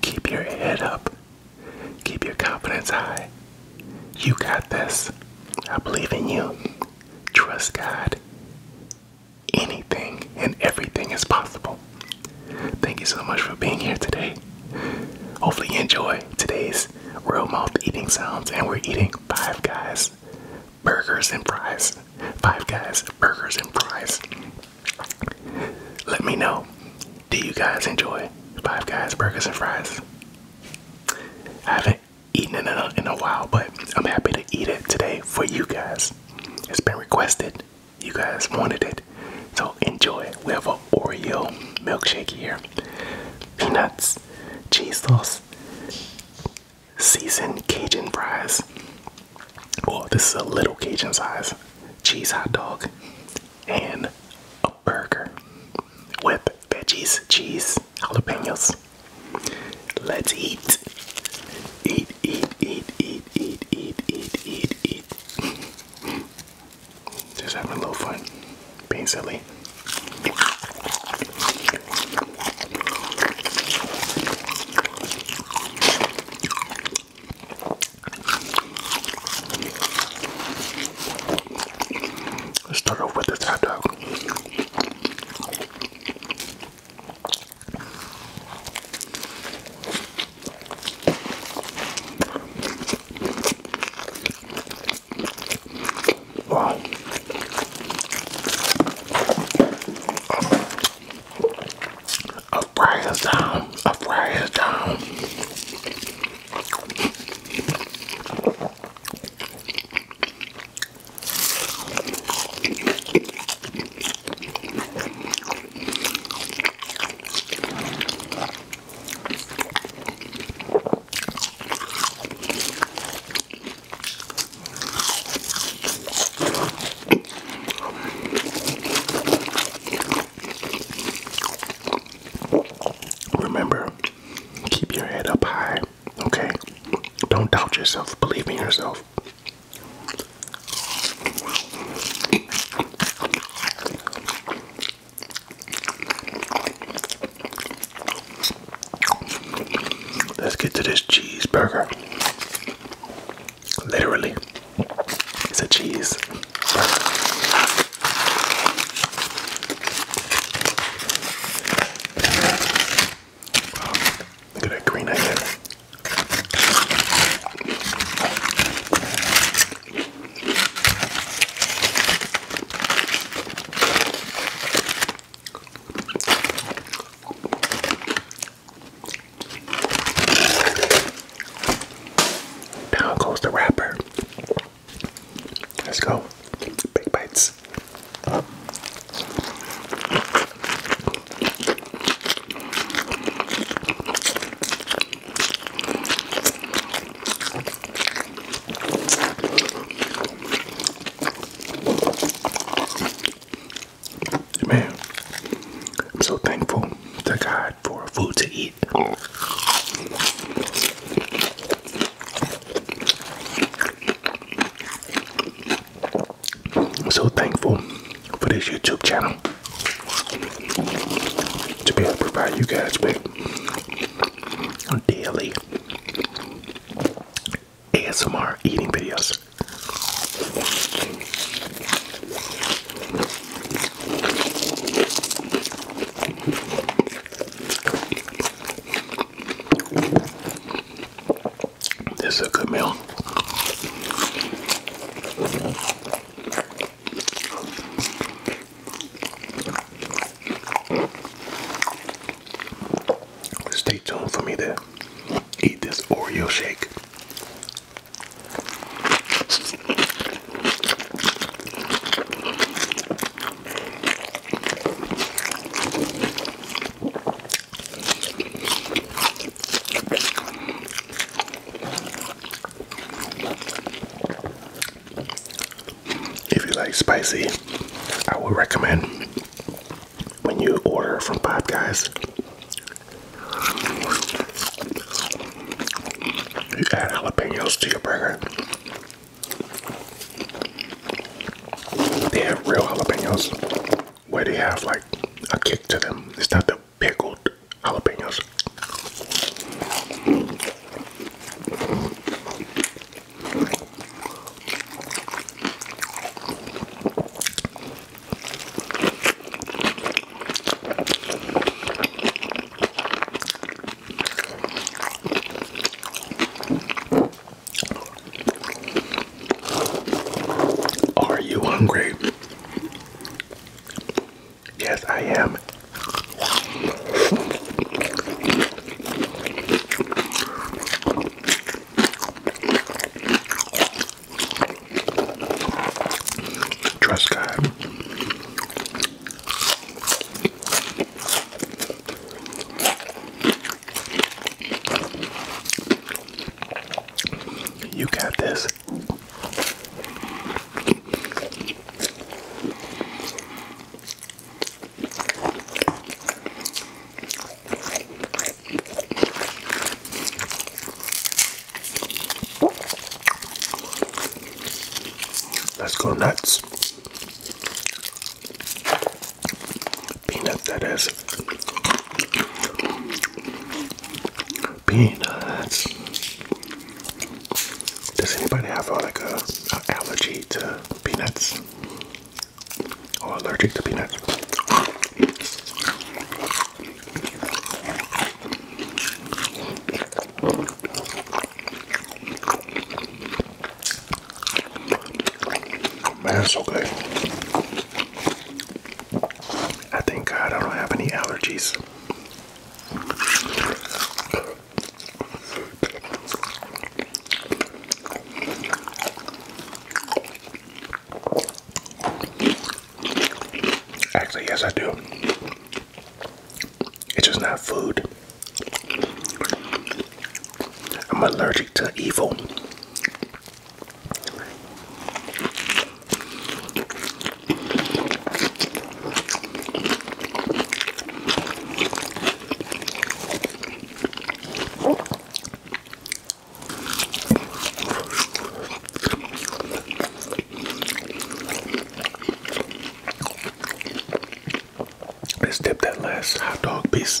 Keep your head up. Keep your confidence high. You got this. I believe in you. Trust God. Anything and everything is possible. Thank you so much for being here today. Hopefully, you enjoy today's real mouth eating sounds, and we're eating Five Guys burgers and fries. Five Guys burgers and fries. Let me know. Do you guys enjoy Five Guys burgers and fries? I haven't eaten it in a, while, but I'm happy to eat it today for you guys. It's been requested. You guys wanted it, so enjoy. We have an Oreo milkshake here, peanuts, cheese sauce, seasoned Cajun fries. Oh, this is a little Cajun size cheese hot dog and a burger with veggies, cheese, jalapenos. Let's eat. Eat, eat, eat, eat, eat, eat, eat, eat, eat. Just having a little fun, being silly. Let's start off with this hot dog. Wow. A fry is down. A fry is down. Remember, keep your head up high, okay? Don't doubt yourself, believe in yourself. Let's get to this cheeseburger. Literally, it's a cheese. Look at that green onion. Down the wrapper. Let's go. Big bites. Man, I'm so thankful to God for food to eat. I'm so thankful for this YouTube channel to be able to provide you guys with daily ASMR eating videos. This is a good meal. Stay tuned for me to eat this Oreo shake if you like spicy, I would recommend when you order from Popeyes, Guys, you add jalapenos to your burger. They have real jalapenos where they have like a kick to them. It's not the pickled jalapenos. Are you hungry? Yes, I am. Trust God. You got this. Let's go nuts. Peanuts, that is. Peanuts. Does anybody have uh, like a, allergy to peanuts? Oh, allergic to peanuts? Man, it's so good. I think I don't have any allergies. Actually, yes, I do. It's just not food. I'm allergic to evil. Let's dip that last hot dog piece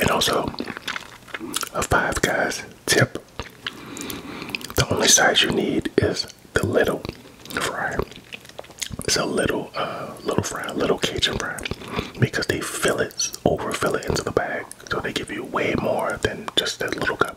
And also a Five Guys tip. The only size you need is the little fry. It's a little uh, little fry, little Cajun fry. Because they fill it, overfill it into the bag. So they give you way more than just that little cup.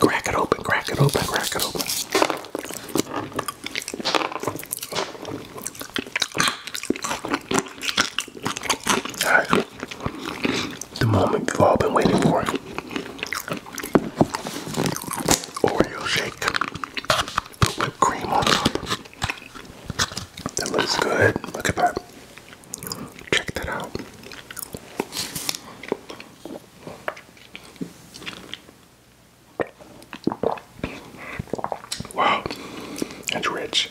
Crack it open, crack it open, crack it open. All right. The moment we've all been waiting for. Oreo shake. whipped cream on top. That looks good. Look at that. Check that out. Wow, that's rich.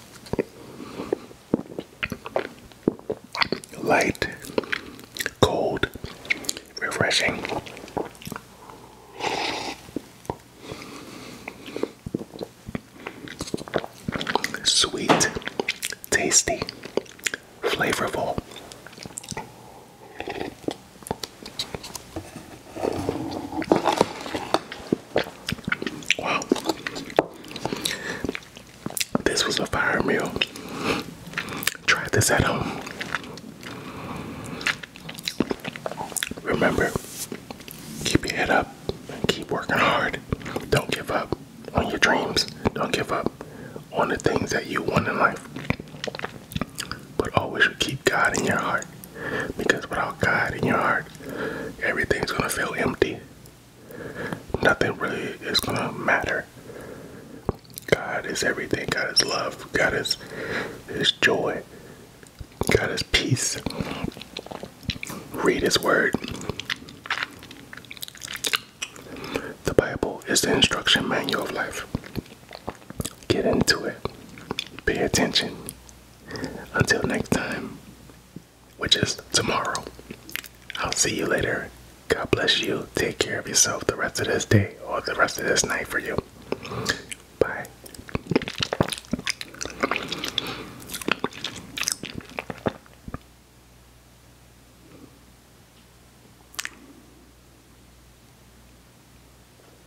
Light, cold, refreshing. Sweet, tasty, flavorful. Wow. This was a fire meal. Try this at home. Remember, keep your head up and keep working hard. Don't give up on your dreams. Don't give up on the things that you want in life. But always keep God in your heart. Because without God in your heart, everything's going to feel empty. Nothing really is going to matter. God is everything. God is love. God is, is joy. God is peace. Read His Word. The Bible is the instruction manual of life. Get into it. Pay attention. Until next time, which is tomorrow, I'll see you later. God bless you. Take care of yourself the rest of this day or the rest of this night for you. Bye.